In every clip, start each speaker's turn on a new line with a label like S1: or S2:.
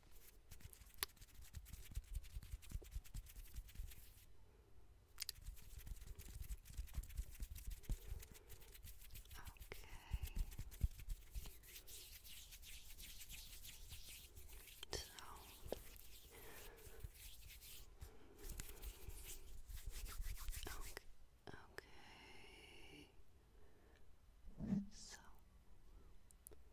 S1: So okay. Okay. So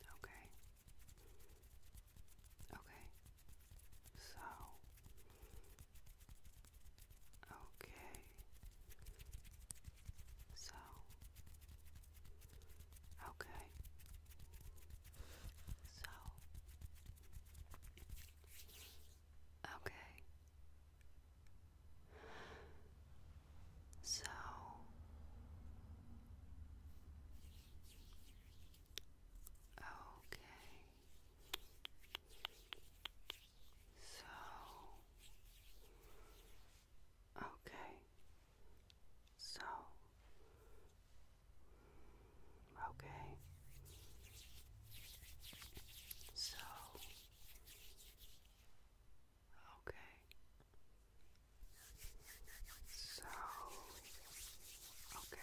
S1: Okay. Okay. So. Okay. So. Okay. So. Okay. So okay. So okay. So okay. So Okay. So, okay.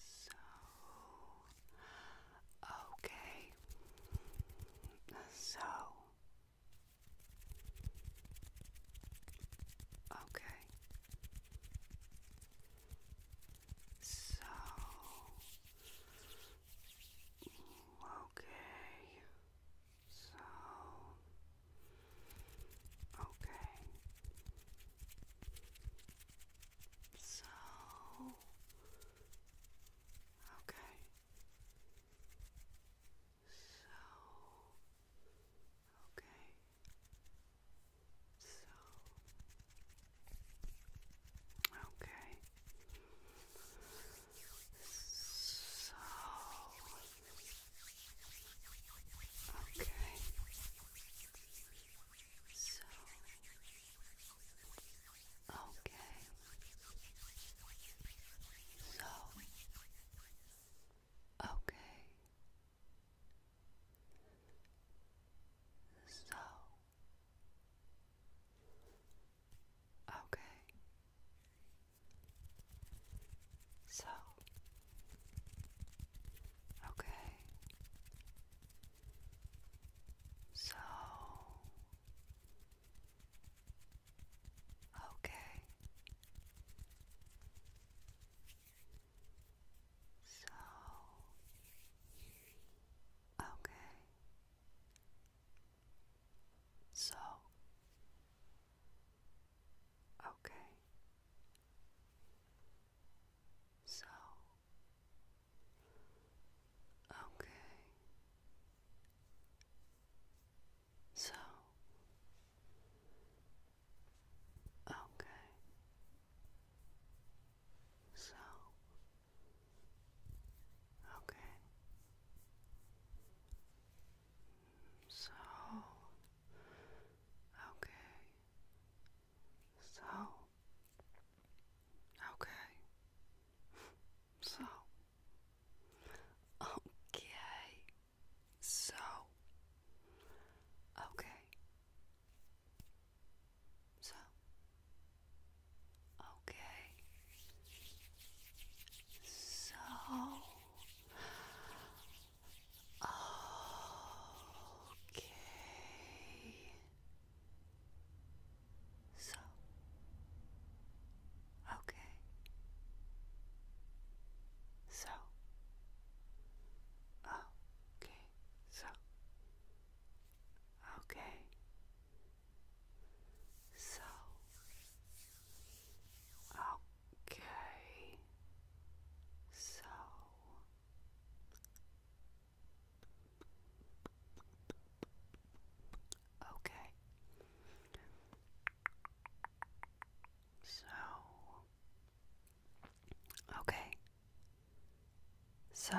S1: So, okay. So, okay. So, Okay. So okay. So okay. So okay. So, okay. So, okay. So, okay. So, okay. So, Okay. So. Okay. So. Okay. So. Okay. So, okay. So, okay. So, okay. So, Okay. So. Okay. So. Okay. So. Okay. So. Okay. So, okay. So, okay. So, okay. So, okay so. Okay, so. Okay. So. Okay. So. Okay. So, okay. So,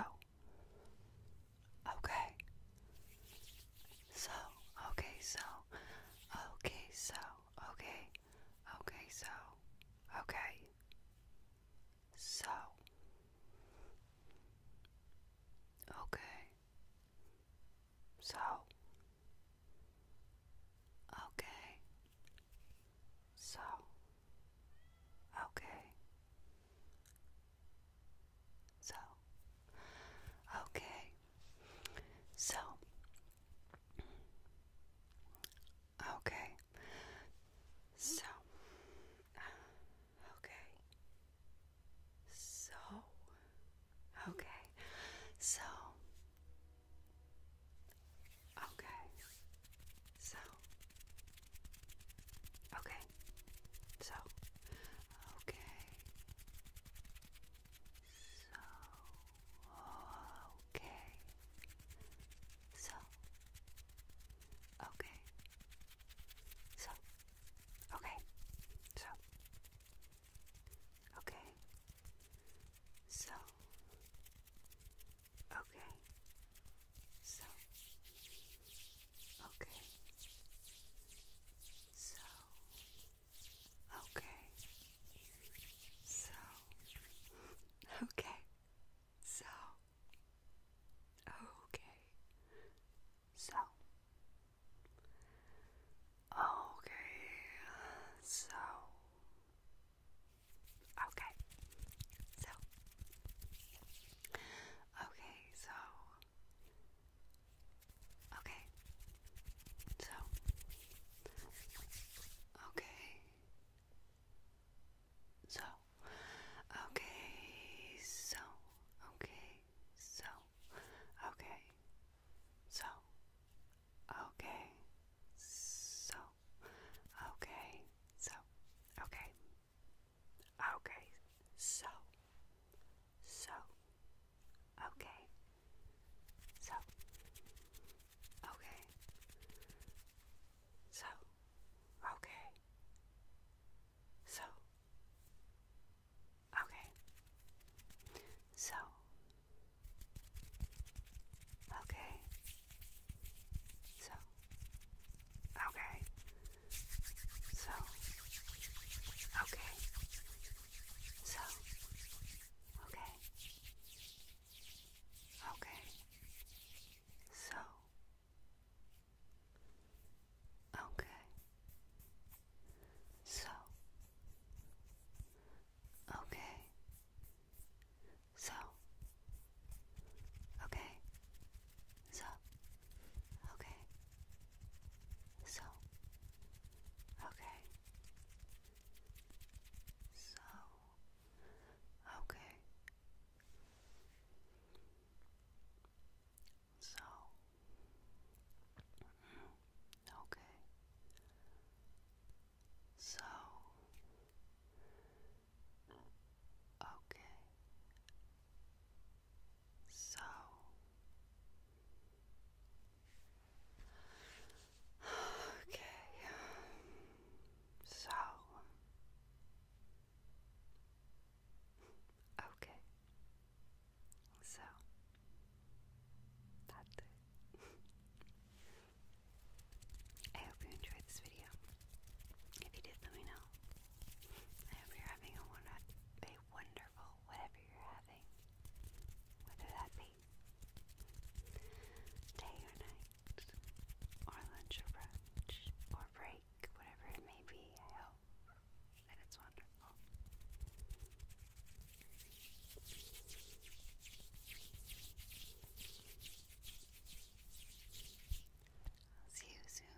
S1: okay. So, okay, so, okay, so, okay, okay, so, okay. So, Okay. So. Okay. So. Okay. So. Okay. So. Okay. So. Okay. So. Okay. So. Okay. So. Okay. So. Okay. So. Okay. So. Okay. So. Okay. So. Okay. So. Okay. So. Okay. So. Okay. So. Okay. So. Okay, so okay, so okay, so okay, so okay, so okay, so okay, so okay, so Okay, so, okay, so, okay, okay, so, so, okay, so, okay, so, okay, so, okay, so, Okay. So. Okay. So. Okay. So. Okay. Okay. So. Okay. So. Okay. So. Okay. So. Okay. So. Okay. So. Okay. So. Mm-hmm. Okay. So, okay, so okay, so okay, so. I hope you enjoyed this video. If you did, let me know. I hope you're having a, wonder a wonderful whatever you're having, whether that be day or night, or lunch or brunch, or break, whatever it may be. I hope that it's wonderful. I'll see you soon.